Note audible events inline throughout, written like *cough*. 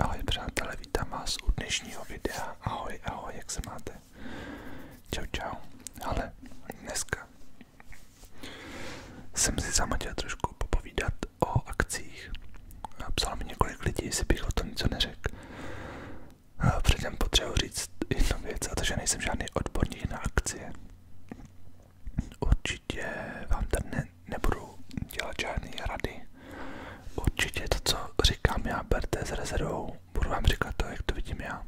Ahoj přátelé, vítám vás u dnešního videa. Ahoj, ahoj, jak se máte? Čau, čau. Ale dneska jsem si sama chtěl trošku popovídat o akcích. Psalo mi několik lidí, jestli bych o tom něco neřekl. Předem potřebuji říct jednu věc, a to, že nejsem žádný odborník na akcie. Určitě vám tady ne, nebudu dělat žádné rady. Určitě to, co říkám já, berte s rezervou. Budu vám říkat to, jak to vidím já.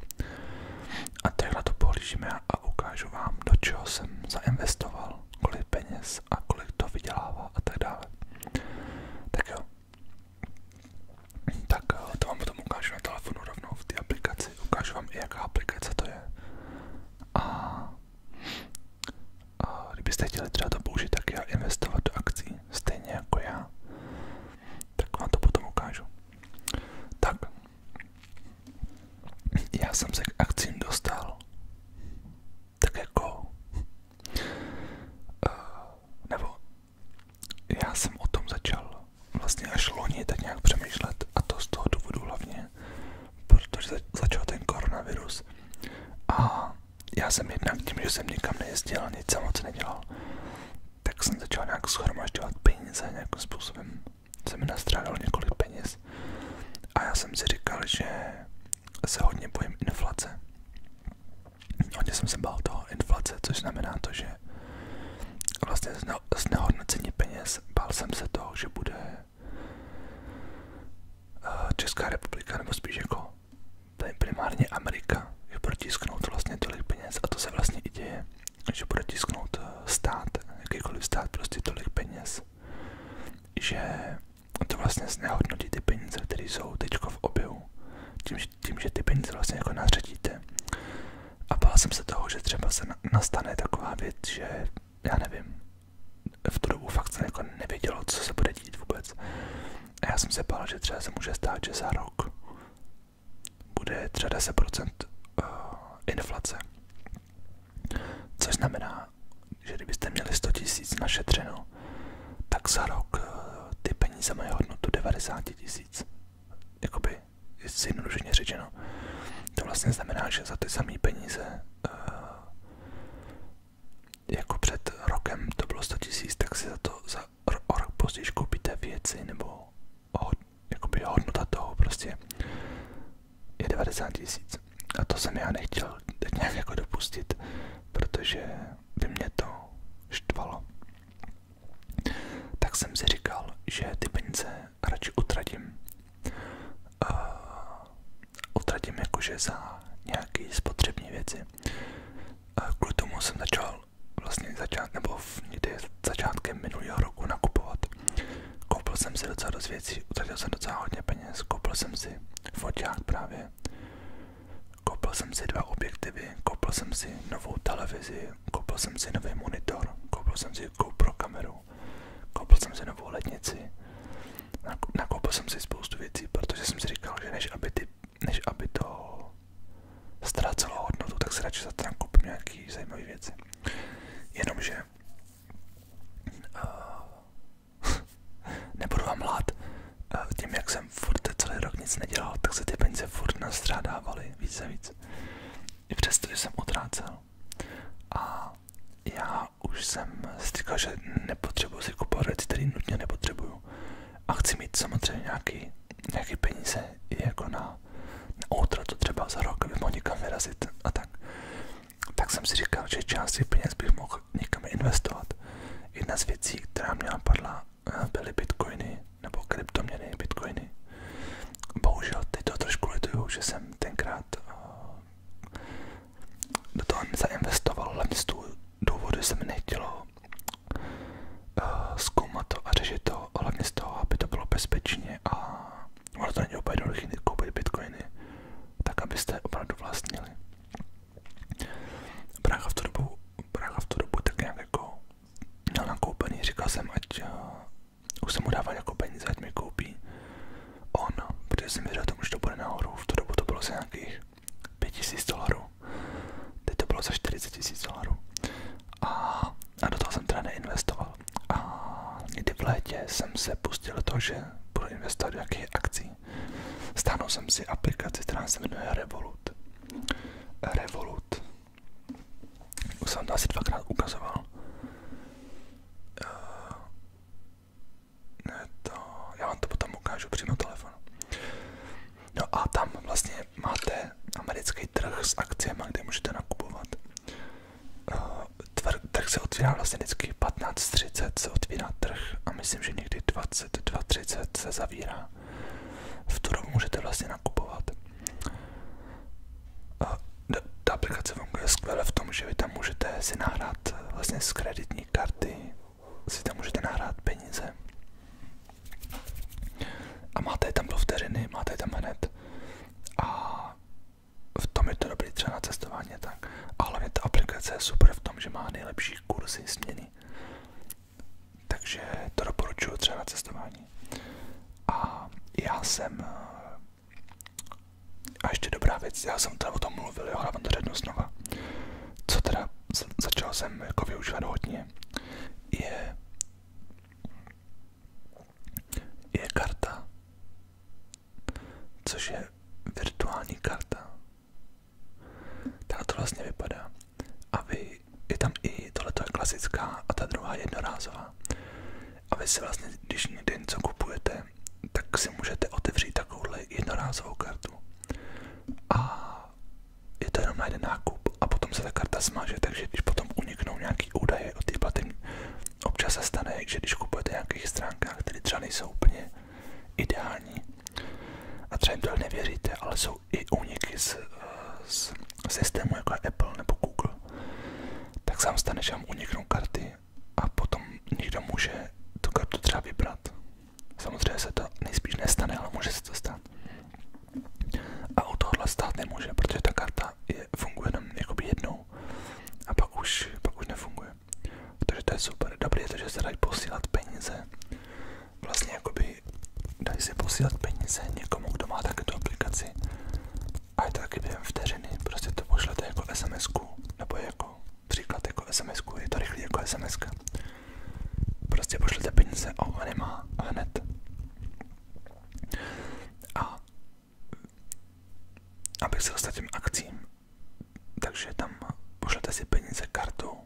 A takhle to pohlížím já a ukážu vám, do čeho jsem zainvestoval, kolik peněz a kolik to vydělává a tak dále. Tak jo. Tak eh, to vám potom ukážu na telefonu rovnou v té aplikaci. Ukážu vám i jaká aplikace to je. A, a kdybyste chtěli třeba to použít, tak já investovat do akcí, stejně jako já, tak vám to potom ukážu. Tak, já jsem se k akcím dostal, tak jako, eh, nebo já jsem o tom začal vlastně až loni tak nějak přemýšlet a to z toho důvodu hlavně, protože začal ten koronavirus a já jsem jednak tím, že jsem nikam nejezdil, nic jsem moc nedělal, tak jsem začal nějak schromažďovat peníze nějakým způsobem. Jsem mi nastrádal několik peněz a já jsem si říkal, že se hodně bojím inflace. Hodně jsem se bál toho inflace, což znamená to, že vlastně z znehodnocení peněz, bál jsem se toho, že bude Eh, Česká republika, nebo spíš jako primárně Amerika, je protisknout vlastně tolik peněz a to se vlastně i děje, že protisknout eh, stát, jakýkoliv stát, prostě tolik peněz, že to vlastně znehodnotí ty peníze, které jsou teď v oběhu, tím, tím, že ty peníze vlastně jako nařadíte. A bál jsem se toho, že třeba se nastane taková věc, že já nevím, v tu dobu fakt jsem jako nevědělo, co se bude dít vůbec. A já jsem se bál, že třeba se může stát, že za rok bude třeba 10% eh, inflace. Což znamená, že kdybyste měli 100 tisíc našetřeno, tak za rok eh, ty peníze mají hodnotu 90 tisíc. Jakoby zjednodušeně řečeno. To vlastně znamená, že za ty samé peníze, eh, jako před rokem to bylo 100 tisíc, tak si za to za o rok později koupíte věci nebo jako jakoby hodnota toho prostě je 90 tisíc. A to jsem já nechtěl teď nějak jako dopustit, protože by mě to štvalo. Tak jsem si říkal, že ty peníze radši utratím. Uh, utratím jakože za nějaké spotřební věci. Uh, kvůli tomu jsem začal vlastně začát, nebo v, někdy začátkem minulého roku nakupovat. Koupil jsem si docela dost věcí, utratil jsem docela hodně peněz, koupil jsem si foťák právě, koupil jsem si dva objektivy, koupil jsem si novou televizi, koupil jsem si nový monitor, koupil jsem si GoPro kameru, náhodou. Koupil jsem si novou letnici, nakoupil jsem si spoustu věcí, protože jsem si říkal, že než aby, ty, než aby to ztrácelo hodnotu, tak se radši za to nakoupím nějaký zajímavé věci. Jenomže uh, *laughs* nebudu vám lát, uh, eh, tím jak jsem furt celý rok nic nedělal, tak se ty peníze furt nastřádávaly víc a víc. I přesto, že jsem utrácel. A já už jsem si říkal, že nepotřebuji si kupovat věci, které nutně nepotřebuju. A chci mít samozřejmě nějaký, nějaký peníze i jako na, na to třeba za rok, aby mohl někam vyrazit a tak. Tak jsem si říkal, že část těch peněz bych mohl někam investovat. Jedna z věcí, která mě napadla, eh, byly bitcoiny nebo kryptoměny bitcoiny. Bohužel teď to trošku lituju, že jsem jsem tenkrát eh, do toho zainvestoval, ale mě z toho důvodu se mi nechtělo eh, zkoumat to a řešit to, hlavně z toho, aby to bylo bezpečně a ono to není úplně jednoduché koupit bitcoiny, tak abyste opravdu vlastnili. Brácha v tu dobu, brácha v tu dobu tak nějak jako měl nakoupený, říkal jsem, ať eh, už jsem mu dával jako peníze, ať mi koupí on, protože jsem věděl tomu, že to bude nahoru, v tu dobu to bylo za nějakých 5000 dolarů, teď to bylo za 40 tisíc dolarů a, a do toho jsem teda neinvestoval a někdy v létě jsem se pustil do toho, že budu investovat do nějakých akcí. Stáhnul jsem si aplikaci, která se jmenuje Revolut. Revolut. Už jsem to asi dvakrát ukazoval. Uh, ne to, já vám to potom ukážu přímo telefon. No a tam vlastně máte americký trh s akciemi, kde můžete nakupovat. Uh, trh se otvírá vlastně vždycky 15.30 se otvírá trh a myslím, že někdy 22.30 se zavírá. V tu dobu můžete vlastně nakupovat. Ta aplikace funguje skvěle v tom, že vy tam můžete si nahrát eh, vlastně z kreditní karty, si tam můžete nahrát peníze a máte je tam do vteřiny, máte je tam hned a v tom je to dobrý třeba na cestování tak. A hlavně ta aplikace je super v tom, že má nejlepší kurzy směny. Takže to doporučuju třeba na cestování. A já jsem eh, a ještě dobrá věc, já jsem teda o tom mluvil, jo, ale vám to řeknu znova. Co teda začal jsem jako využívat hodně, je, je karta, což je virtuální karta. Tak to vlastně vypadá. A vy, je tam i tohle je klasická a ta druhá jednorázová. A vy vlastně, když někde něco kupujete, tak si můžete otevřít takovouhle jednorázovou kartu. A je to jenom na jeden nákup a potom se ta karta smaže, takže když potom uniknou nějaký údaje o té platební, občas se stane, že když kupujete na nějakých stránkách, které třeba nejsou úplně ideální a třeba jim to nevěříte, ale jsou i úniky z, z systému, jako Apple nebo Google, tak sám stane, že vám uniknou karty a potom někdo může tu kartu třeba vybrat. Samozřejmě se to nejspíš nestane, ale může se to stát. A u tohohle stát nemůže, protože ta karta je, funguje jenom jakoby jednou a pak už, pak už nefunguje. Takže to je super. Dobrý je to, že se dají posílat peníze. Vlastně jakoby dají se posílat peníze někomu, kdo má taky tu aplikaci a je to taky během vteřiny, prostě to pošlete jako sms nebo jako příklad jako sms je to rychlý jako sms -ka. Prostě pošlete peníze a on nemá hned. A abych se dostal těm akcím, takže tam pošlete si peníze kartou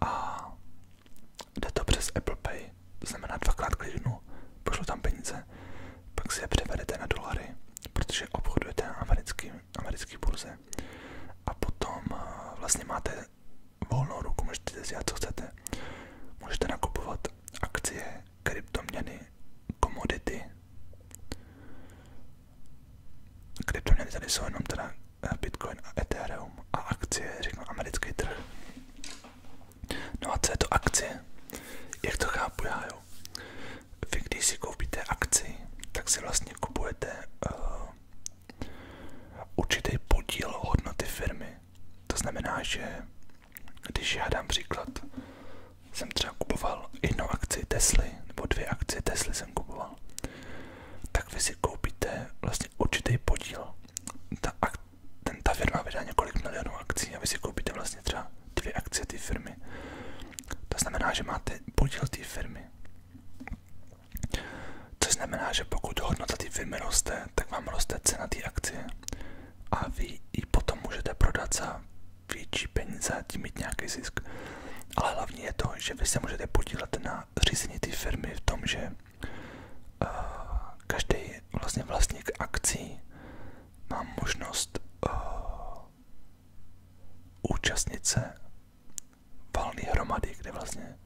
a jde to přes Apple Pay to znamená dvakrát klidnu, pošlu tam peníze, pak si je převedete na dolary, protože obchodujete na americký, americký burze a potom eh, vlastně máte volnou ruku, můžete si dělat, co chcete. Můžete nakupovat akcie, kryptoměny, komodity. Kryptoměny tady jsou jenom teda eh, Bitcoin a Ethereum a akcie, řeknu, americký trh. No a co je to akcie? Jak to chápu já, jo? Vy když si koupíte akci, tak si vlastně kupujete uh, určitý podíl hodnoty firmy. To znamená, že když já dám příklad, jsem třeba kupoval jednu akci Tesly, nebo dvě akcie Tesly jsem kupoval, tak vy si koupíte vlastně určitý podíl. Ta, ten, ta firma vydá několik milionů akcí a vy si koupíte vlastně třeba dvě akcie té firmy. To znamená, že máte podíl té firmy. Což znamená, že pokud hodnota té firmy roste, tak vám roste cena té akcie a vy ji potom můžete prodat za větší peníze a tím mít nějaký zisk. Ale hlavně je to, že vy se můžete podílet na řízení té firmy v tom, že Eh, každý vlastně vlastník akcí má možnost eh, účastnit se valné hromady, vlastně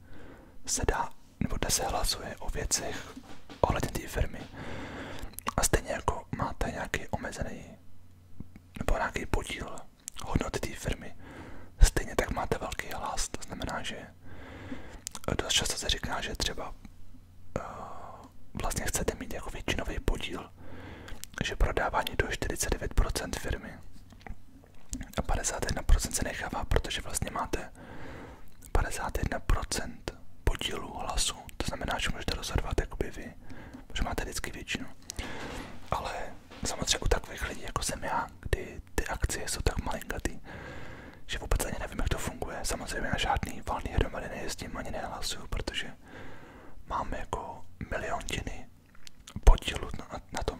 se dá nebo kde hlasuje o věcech ohledně té firmy. A stejně jako máte nějaký omezený nebo nějaký podíl hodnoty té firmy, stejně tak máte velký hlas. To znamená, že Eh, dost často se říká, že třeba eh, vlastně chcete mít jako většinový podíl, že prodávání do 49% firmy a 51% se nechává, protože vlastně máte 51% podílu hlasu. To znamená, že můžete rozhodovat by vy, protože máte vždycky většinu. Ale samozřejmě u takových lidí, jako jsem já, kdy ty akcie jsou tak malinkatý, že vůbec ani nevím, jak to funguje. Samozřejmě na žádný valný hromady nejezdím ani nehlasuju, protože máme jako miliontiny podílu na, na tom.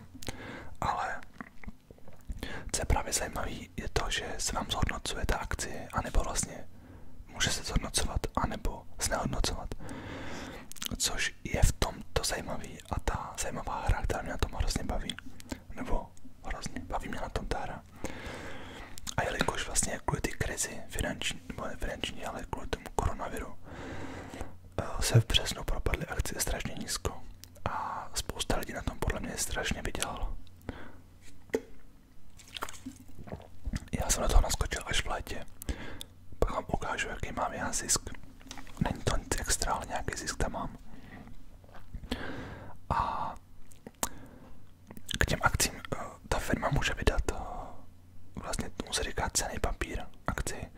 Ale co je právě zajímavé, je to, že se vám zhodnocuje ta akcie, anebo vlastně může se zhodnocovat, anebo znehodnocovat. Což je v tom to zajímavé a ta zajímavá hra, která mě na tom hrozně baví. Nebo hrozně baví mě na tom ta hra. A jelikož vlastně kvůli ty krizi finanční, nebo ne finanční, ale kvůli tomu koronaviru, eh, se v březnu propadly akcie strašně nízko a spousta lidí na tom podle mě strašně vydělalo. Já jsem na toho naskočil až v létě, pak vám ukážu, jaký mám já zisk. Není to nic extra, ale nějaký zisk tam mám. A k těm akcím eh, ta firma může vydat, eh, vlastně tomu se říká cený papír akci,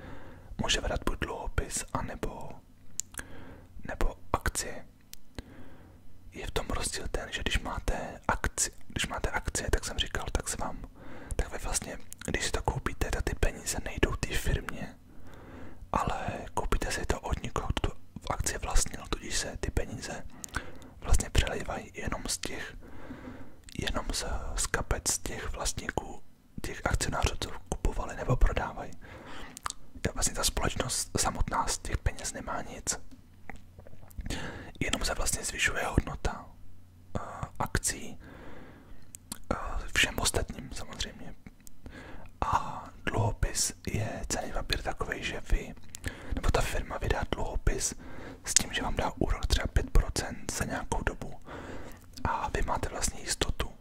může vydat buď dluhopis, anebo nebo akci. Je v tom rozdíl ten, že když máte akci, když máte akcie, tak jsem říkal, tak se vám, tak vy vlastně, když si to koupíte, tak ty peníze nejdou té firmě, ale koupíte si to od někoho, kdo v akci vlastnil, tudíž se ty peníze vlastně přelejvají jenom z těch, jenom z, z kapec těch vlastníků, těch akcionářů, co kupovali nebo prodávají. Vlastně ta společnost samotná z těch peněz nemá nic. Jenom se vlastně zvyšuje hodnota eh, akcí eh, všem ostatním samozřejmě, a dluhopis je cený papír takový, že vy, nebo ta firma vydá dluhopis s tím, že vám dá úrok třeba 5% za nějakou dobu. A vy máte vlastně jistotu,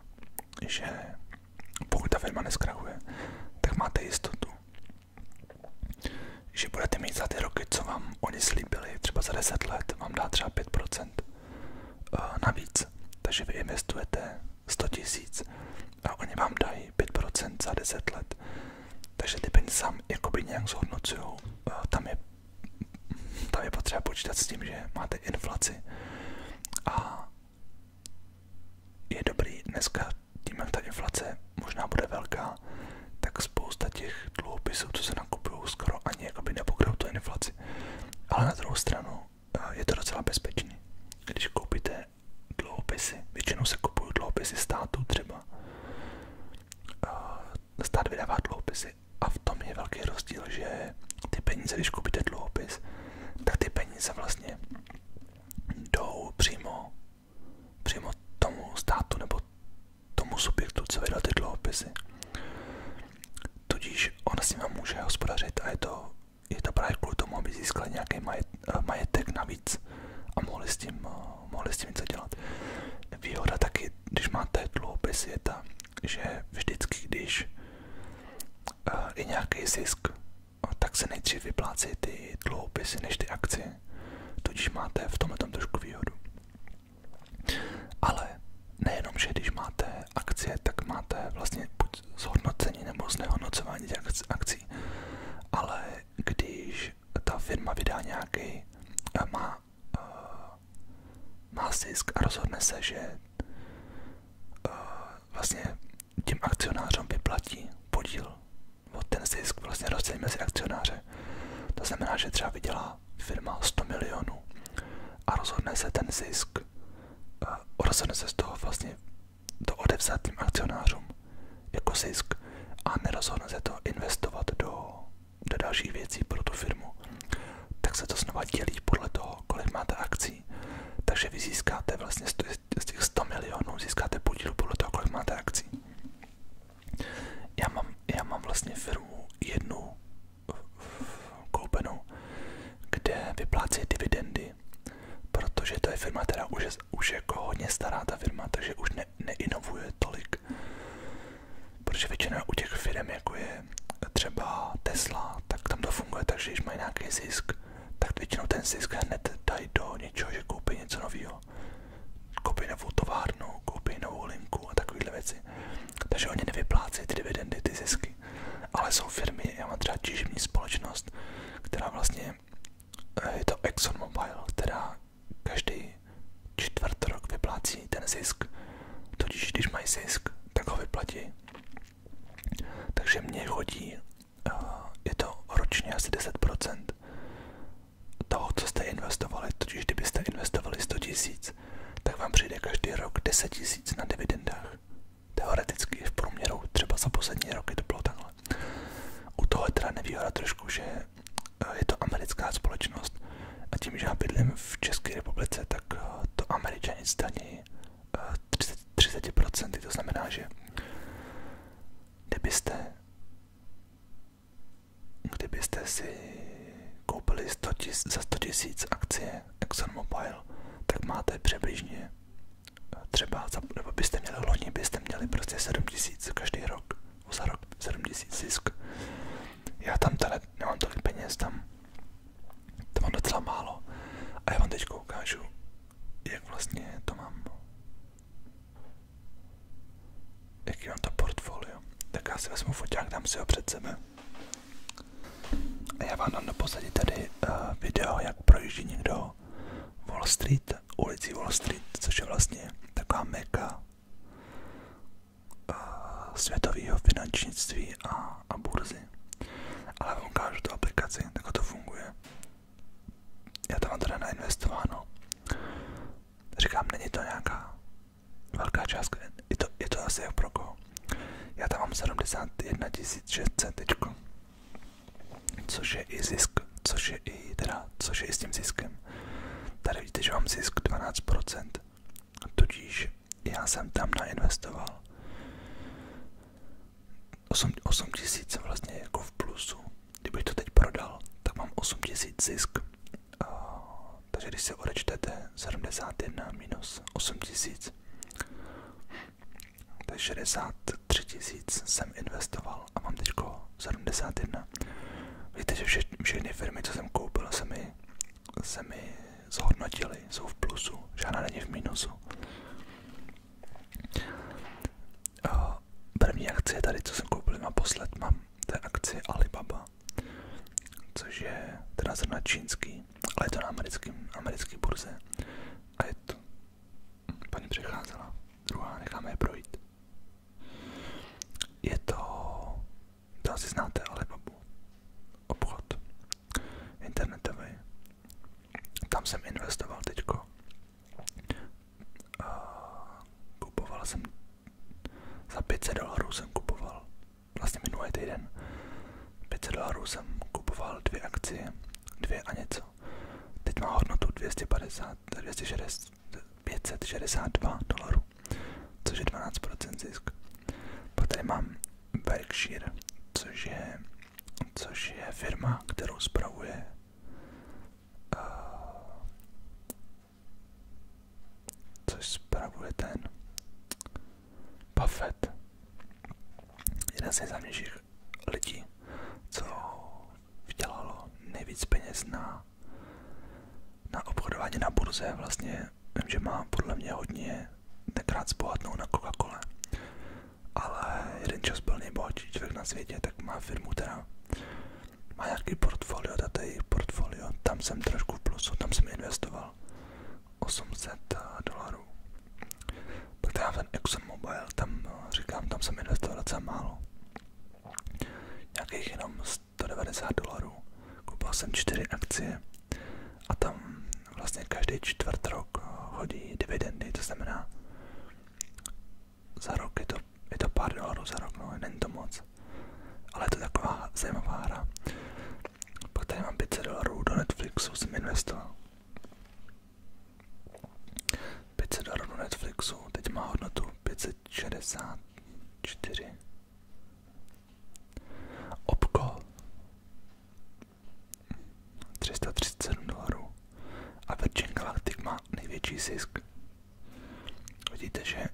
že pokud ta firma neskrachuje, tak máte jistotu, že budete mít za ty roky, co vám oni slíbili, třeba za 10 let, vám dá třeba 5% eh, navíc. Takže vy investujete 100 tisíc a oni vám dají 5% za 10 let. Takže ty peníze sám jakoby nějak zhodnocujou. Tam je, tam je potřeba počítat s tím, že máte inflaci a je dobrý dneska tím, jak ta inflace možná bude velká, tak spousta těch dluhopisů, co se nakupují, skoro ani jakoby nepokryjou tu inflaci. Ale na druhou stranu je to docela bezpečný. Když koupíte dluhopisy, většinou se kupují dluhopisy státu třeba. Stát vydává dluhopisy a v tom je velký rozdíl, že ty peníze, když koupíte dluhopis, tak ty peníze vlastně jdou přímo, přímo tomu státu nebo tomu subjektu, co vydal ty dluhopisy. Tudíž on s nimi může hospodařit a je to je to právě kvůli tomu, aby získali nějaký eh, majetek navíc a mohli s tím, eh, mohli s tím něco dělat. Výhoda taky, když máte dluhopis, je ta, že vždycky, když eh, je nějaký zisk, tak se nejdřív vyplácí ty dluhopisy než ty akcie, tudíž máte v tomhle trošku výhodu. Ale nejenom, že když máte akcie, tak máte vlastně zhodnocení nebo znehodnocování těch akcí. Ale když ta firma vydá nějaký, eh, má, eh, má zisk a rozhodne se, že eh, vlastně tím akcionářům vyplatí podíl od ten zisk vlastně rozdělí mezi akcionáře. To znamená, že třeba vydělá firma 100 milionů a rozhodne se ten zisk, rozhodne se z toho vlastně to odevzatým akcionářům jako zisk a nerozhodne se to investovat do, do dalších věcí pro tu firmu, tak se to znova dělí podle toho, kolik máte akcí. Takže vy získáte vlastně z těch 100 milionů, získáte podíl podle toho, kolik máte akcí. Já mám, já mám vlastně firmu jednu koupenou, kde vyplácí dividendy, protože to je firma, která už je, už je jako hodně stará ta firma, takže už ne, neinovuje tolik. Protože většina u těch firm, jako je třeba Tesla, tak tam to funguje, takže když mají nějaký zisk, tak většinou ten zisk hned dají do něčeho, že koupí něco nového. Koupí novou továrnu, koupí novou linku a takovéhle věci. Takže oni nevyplácí ty dividendy, ty zisky ale jsou firmy, já mám třeba těžební společnost, která vlastně, eh, je to Exxon ExxonMobil, která každý čtvrt rok vyplácí ten zisk, totiž když mají zisk, tak ho vyplatí. Takže mě chodí, eh, je to ročně asi 10% toho, co jste investovali, totiž kdybyste investovali 100 tisíc, tak vám přijde každý rok 10 tisíc na dividendách teoreticky v průměru třeba za poslední roky to bylo takhle. U toho je teda nevýhoda trošku, že eh, je to americká společnost a tím, že já bydlím v České republice, tak eh, to američané zdaní 30%, eh, 30%, to znamená, že kdybyste, kdybyste si koupili 100 000, za 100 000 akcie ExxonMobil, tak máte přibližně třeba, za, nebo byste měli loni, byste měli prostě 7000 každý rok, za rok 7000 zisk. Já tam tady nemám tolik peněz, tam, to mám docela málo. A já vám teď ukážu, jak vlastně to mám. Jaký mám to portfolio. Tak já si vezmu foťák, dám si ho před sebe. Já vám dám naposledy tady uh, video, jak projíždí někdo Wall Street, ulicí Wall Street, což je vlastně taková meka uh, světového finančnictví a, a burzy. Ale vám ukážu tu aplikaci, tak to funguje. Já tam mám teda nainvestováno. Říkám, není to nějaká velká částka, je to, je to asi jak pro koho. Já tam mám 71 600 teďko což je i zisk, což je i, teda, což je i s tím ziskem. Tady vidíte, že mám zisk 12%, tudíž já jsem tam nainvestoval 8, 8 tisíc vlastně jako v plusu. Kdybych to teď prodal, tak mám 8 tisíc zisk. takže když se odečtete 71 minus 8 tisíc, to je 63 tisíc jsem investoval a mám teď 71. Víte, že vše, všechny firmy, co jsem koupil, se mi, se mi zhodnotily, jsou v plusu, žádná není v minusu. První akcie tady, co jsem koupil naposled, mám, to je akcie Alibaba, což je teda zrovna čínský, ale je to na americký, americký burze a to. Paní přecházela. Druhá, necháme je Je to, to asi znáte, ale babu. Obchod. Internetový. Tam jsem investoval teďko. A jsem, za 500 dolarů jsem kupoval, vlastně minulý týden, 500 dolarů jsem kupoval dvě akcie dvě a něco. Teď má hodnotu 250, 260, 562 dolarů, což je 12% zisk. Pak tady mám Berkshire, což je, což je firma, kterou spravuje uh, což spravuje ten Buffett, jeden z nejznámějších lidí, co vydělalo nejvíc peněz na, na obchodování na burze. Vlastně vím, že má podle mě hodně tenkrát zbohatnou na coca cole ale jeden čas byl nejbohatší člověk na světě, tak má firmu, která má nějaký portfolio, data jejich portfolio, tam jsem trošku v plusu, tam jsem investoval. 800 dolarů. Pak tam ten Exxon Mobile, tam no, říkám, tam jsem investoval docela málo. Nějakých jenom 190 dolarů. Koupil jsem čtyři akcie a tam vlastně každý čtvrt rok eh, hodí dividendy, to znamená za rok je to, je to pár dolarů za rok, no, není to moc. Ale je to taková zajímavá hra. Pak tady mám 500 dolarů do Netflixu, jsem investoval. 500 dolarů Netflixu, teď má hodnotu 564. Obkol 337 dolarů a Virgin Galactic má největší zisk. Vidíte, že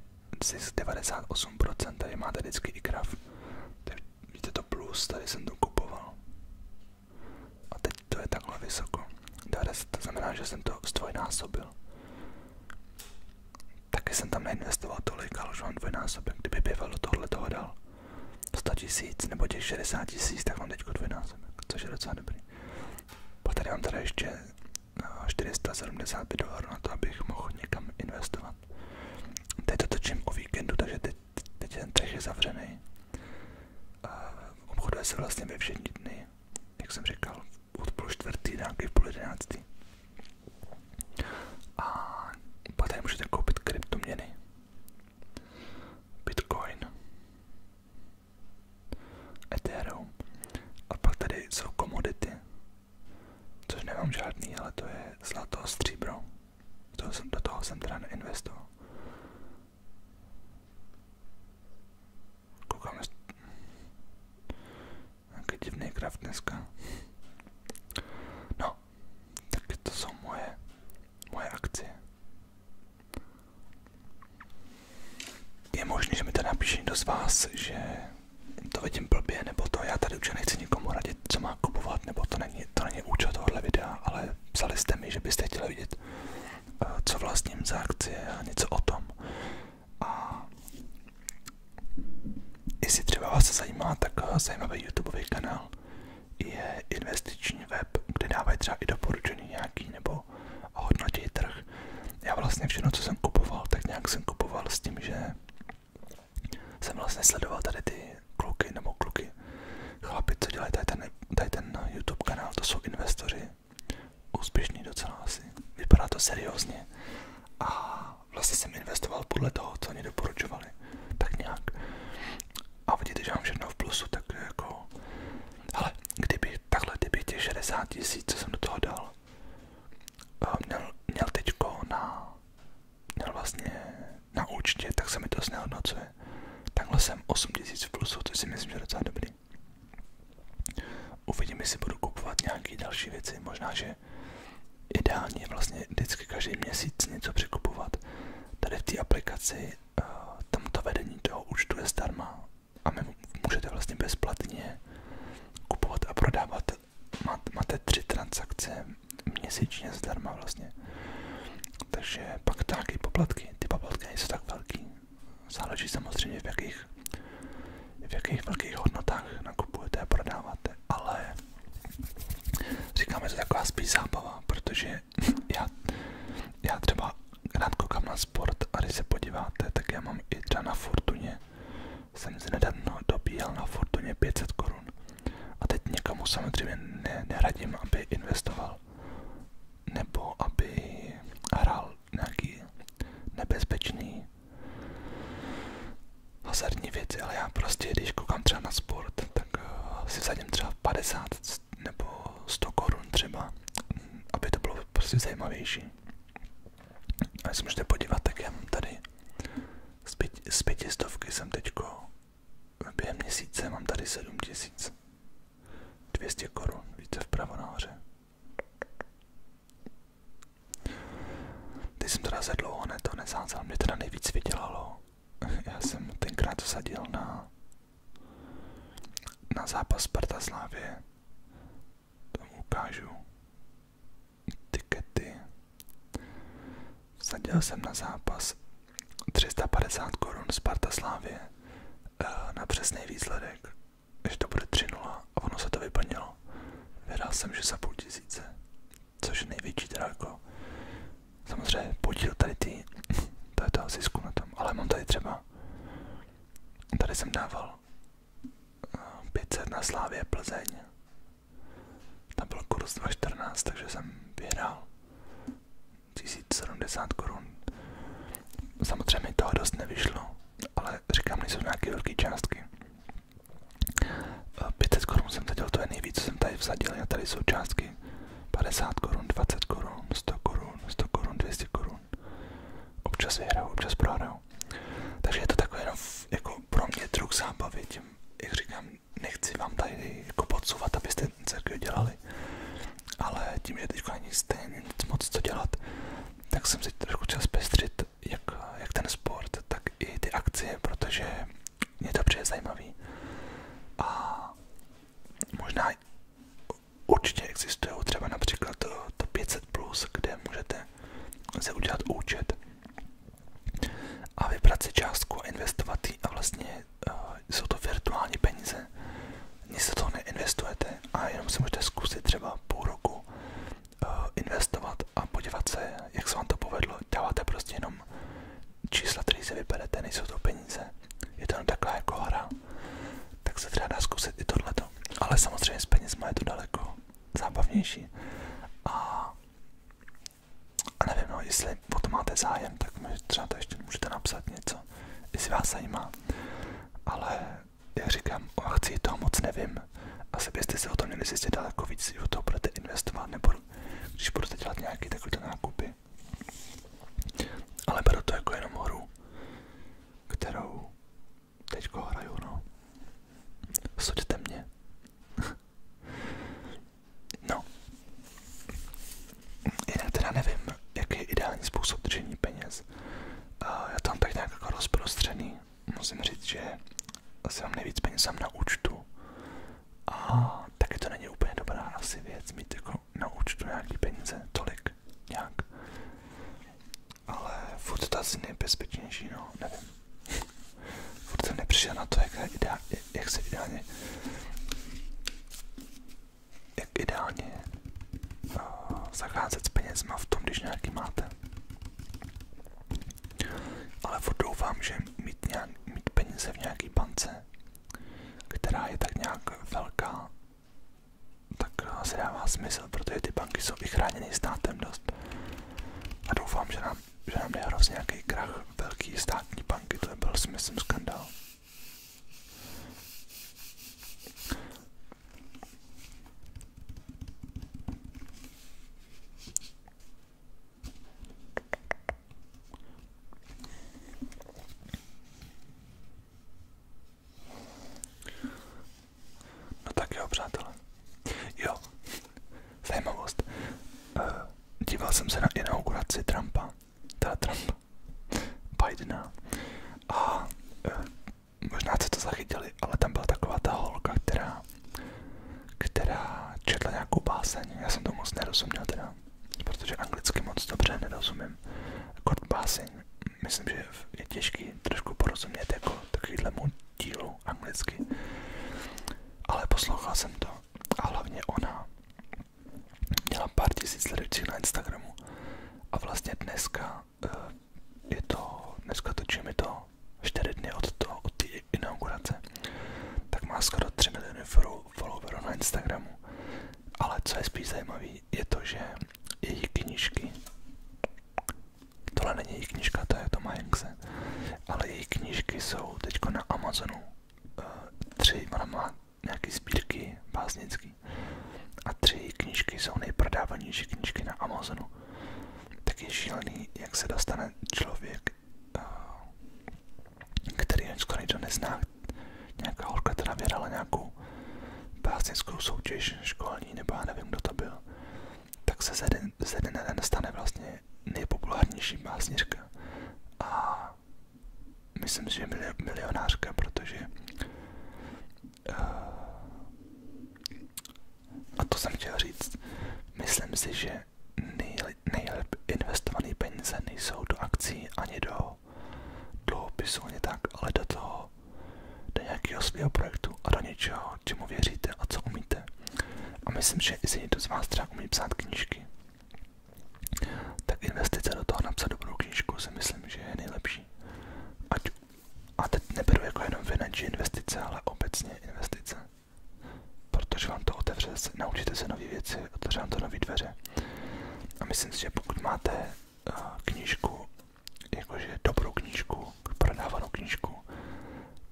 zisk 98% tady máte vždycky i graf. Vidíte to plus, tady jsem to kupoval. A teď to je takhle vysoko. 10, to znamená, že jsem to zdvojnásobil. Taky jsem tam neinvestoval tolik, ale už mám dvojnásobek. Kdyby bývalo tohle toho dal 100 tisíc nebo těch 60 tisíc, tak mám teď dvojnásobek, což je docela dobrý. Pak tady mám tady ještě 475 eh, dolarů na to, abych mohl někam investovat. Teď to točím o víkendu, takže teď teď ten trh je zavřený. A obchoduje se vlastně ve všední dny, jak jsem říkal, od půl čtvrtý nějaký půl jedenáctý. A pak tady můžete koupit kryptoměny. Bitcoin. Ethereum. A pak tady jsou komodity. Což nemám žádný, ale to je zlato a stříbro. To jsem, do toho jsem teda neinvestoval. Koukáme nějaký divný kraft dneska. No, tak to jsou moje, moje akcie. Je možné, že mi to napíše někdo z vás, že to vidím blbě, nebo to já tady už nechci nechci nikomu radit, co má kupovat, nebo to není, to není účel tohohle videa, ale psali jste mi, že byste chtěli vidět, eh, co vlastně za akcie a něco o tom. A jestli třeba vás zajímá, tak eh, zajímavý YouTubeový kanál je investiční web, kde dávají třeba i doporučení nějaký nebo hodnotí trh. Já vlastně všechno, co jsem kupoval, tak nějak jsem kupoval s tím, že jsem vlastně sledoval tady ty kluky nebo kluky, chlapi, co dělají tady ten, tady ten YouTube kanál, to jsou investoři, úspěšní docela asi, vypadá to seriózně a vlastně jsem investoval podle toho, co oni doporučovali, tak nějak. A vidíte, že mám všechno v plusu, tak jako, ale kdyby takhle, kdyby těch 60 tisíc, co jsem do toho dal, eh, měl, měl teďko na, měl vlastně na účtě, tak se mi to znehodnocuje. Takhle jsem 8000 v plusu, což si myslím, že je docela dobrý. Uvidím, jestli budu kupovat nějaké další věci. Možná, že ideálně je vlastně vždycky každý měsíc něco překupovat. Tady v té aplikaci tam eh, to vedení toho účtu je zdarma a my můžete vlastně bezplatně kupovat a prodávat. Máte tři transakce měsíčně zdarma vlastně. Takže pak taky poplatky, ty poplatky nejsou tak velký. Záleží samozřejmě v jakých, v jakých velkých hodnotách nakupujete a prodáváte, ale říkáme, že to taková spíš zábava, protože *laughs* já, já třeba rád koukám na sport a když se podíváte, tak já mám i třeba na Fortuně, jsem si nedávno dobíjel na Fortuně 500 korun. A teď někomu samozřejmě ne, neradím, aby investoval nebo aby hrál nějaký nebezpečný hazardní věci, ale já prostě, když koukám třeba na sport, tak eh, si vsadím třeba 50 nebo 100 korun třeba, aby to bylo prostě zajímavější. A když se můžete podívat, tak já mám tady z, pět, z pětistovky jsem teďko během měsíce mám tady 7200 korun, více vpravo nahoře. Teď jsem teda za dlouho ne to nesázel, mě teda nejvíc vydělalo. *laughs* Já jsem tenkrát sadil na, na zápas Sparta Slávě. Tam ukážu tikety. Sadil jsem na zápas 350 korun z Slávě eh, na přesný výsledek, že to bude 3-0 a ono se to vyplnilo. Vyhrál jsem, že za půl tisíce, což je největší teda jako samozřejmě podíl tady ty, *laughs* to je toho zisku na tom, ale mám tady třeba, tady jsem dával 500 eh, na Slávě Plzeň tam byl kurz 2,14, takže jsem vyhrál 1070 korun. Samozřejmě toho dost nevyšlo, ale říkám, nejsou nějaké velké částky. 500 eh, korun jsem teď, to je nejvíc, co jsem tady vsadil, a tady jsou částky 50 korun, 20 korun, 100 korun, 100 korun, 200 korun. Občas vyhraju, občas prohraju. Takže je to takový jenom jako pro mě druh zábavy, tím, jak říkám, nechci vám tady jako podsouvat, abyste církev dělali, ale tím, že teď není stejně nic moc co dělat, tak jsem si trošku chtěl zpestřit jak, jak ten sport, tak i ty akcie, protože mě to přijde zajímavý. A možná určitě existují třeba například to, to 500+, plus, kde můžete se udělat účet a vybrat si částku a investovat ji a vlastně uh, jsou to virtuální peníze. Nic do toho neinvestujete a jenom si můžete zkusit třeba půl roku uh, investovat a podívat se, jak se vám to povedlo. Dáváte prostě jenom čísla, které si vyberete, nejsou to peníze. Je to jenom taková jako hra. Tak se třeba dá zkusit i tohleto. Ale samozřejmě s penězma je to daleko zábavnější. A a nevím, no, jestli o to máte zájem, tak mi třeba to ještě můžete napsat něco, jestli vás zajímá. Ale jak říkám, o akci toho moc nevím. Asi byste si o tom měli zjistit daleko víc, když do toho budete investovat, nebo když budete dělat nějaké takové nákupy. Ale beru to jako jenom hru, kterou teďko hraju, no. Suďte mě. No. Jinak teda nevím, jaký je ideální způsob držení peněz. Já tam tak nějak jako rozprostřený. Musím říct, že asi mám nejvíc peněz sám na účtu. A taky to není úplně dobrá asi věc mít jako na účtu nějaký peníze, tolik nějak. Ale furt to asi nejbezpečnější, no, nevím. Furt jsem nepřišel na to, jak, je ideál, jak se ideálně jak ideálně uh, zacházet s penězma v tom, když nějaký máte. Ale furt doufám, že mít, nějak, mít peníze v nějaký bance, která je tak nějak velká, tak eh, se dává smysl, protože ty banky jsou i chráněny státem dost. A doufám, že nám a že nám nehrozí nějaký krach velký státní banky, to byl si myslím skandál. No tak jo, přátelé. Jo, zajímavost. Eh, díval jsem se na inauguraci Trumpa, ta Trump, Bidena a eh, možná jste to zachytili, ale tam byla taková ta holka, která, která četla nějakou báseň. Já jsem to moc nerozuměl teda, protože anglicky moc dobře nerozumím. Kort báseň, myslím, že je těžký trošku porozumět jako takovýhlemu dílu anglicky. Ale poslouchal jsem to a hlavně ona měla pár tisíc sledujících na Instagramu a vlastně dneska eh, je to, dneska točíme to 4 dny od toho, od té inaugurace, tak má skoro 3 miliony followerů na Instagramu. Ale co je spíš zajímavé, je to, že její knížky, tohle není její knižka, to je Toma Hanks, zase. Ale její knížky jsou teď na Amazonu. Eh, tři, ona má nějaké sbírky básnický. A tři její knížky jsou nejprodávanější knížky na Amazonu. Tak je šílený, jak se dostane člověk, eh, který skoro nikdo nezná. Nějaká holka teda vyhrala nějakou básnickou soutěž školní, nebo já nevím, kdo to byl tak se ze dne na den stane vlastně nejpopulárnější básnička a myslím si, že milionářka, protože eh, a to jsem chtěl říct, myslím si, že nejlep investované peníze nejsou do akcí ani do dluhopisu, ani tak, ale do toho, do nějakého svého projektu a do něčeho, čemu věříte a co umíte. A myslím, že jestli někdo z vás třeba umí psát knížky, tak investice do toho napsat dobrou knížku si myslím, že je nejlepší. Ať, a teď neberu jako jenom finanční investice, ale obecně investice. Protože vám to otevře, se naučíte se nové věci, otevře vám to nové dveře. A myslím si, že pokud máte uh, knížku, jakože dobrou knížku, prodávanou knížku,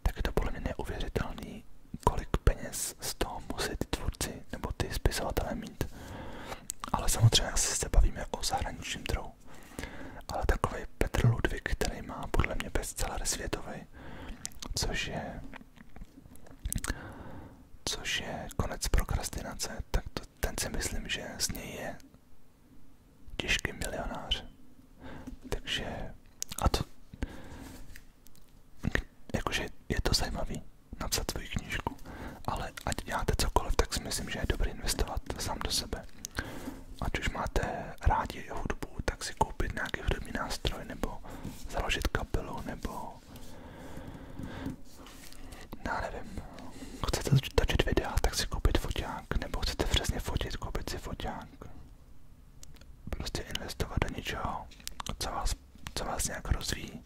tak je to podle mě neuvěřitelný, kolik peněz z toho musí ty tvůrci nebo ty spisovatelé mít. Ale samozřejmě asi se bavíme o zahraničním trhu. Ale takový Petr Ludvík, který má podle mě bestseller světový, což je což je konec prokrastinace, tak to, ten si myslím, že z něj je těžký milionář. Takže a to jakože je to zajímavý napsat svoji knížku, ale ať děláte cokoliv, tak si myslím, že je dobré investovat sám do sebe. Ať už máte rádi hudbu, tak si koupit nějaký hudební nástroj, nebo založit kapelu, nebo já nevím, chcete točit videa, tak si koupit foťák, nebo chcete přesně fotit, koupit si foťák prostě investovat do něčeho, co vás, co vás nějak rozvíjí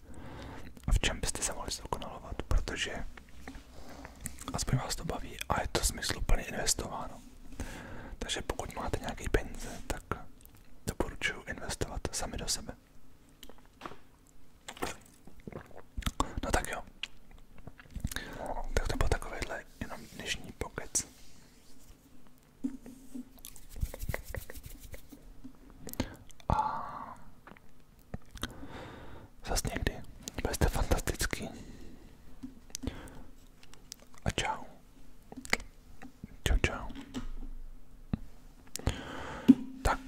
a v čem byste se mohli zdokonalovat, protože aspoň vás to baví a je to smysluplně investováno. Takže pokud máte nějaké peníze, tak doporučuji investovat sami do sebe. No tak jo. Tak to byl takovýhle jenom dnešní pokec. A zas někdy. Byste fantastický. A čau. Čau, čau. Tak.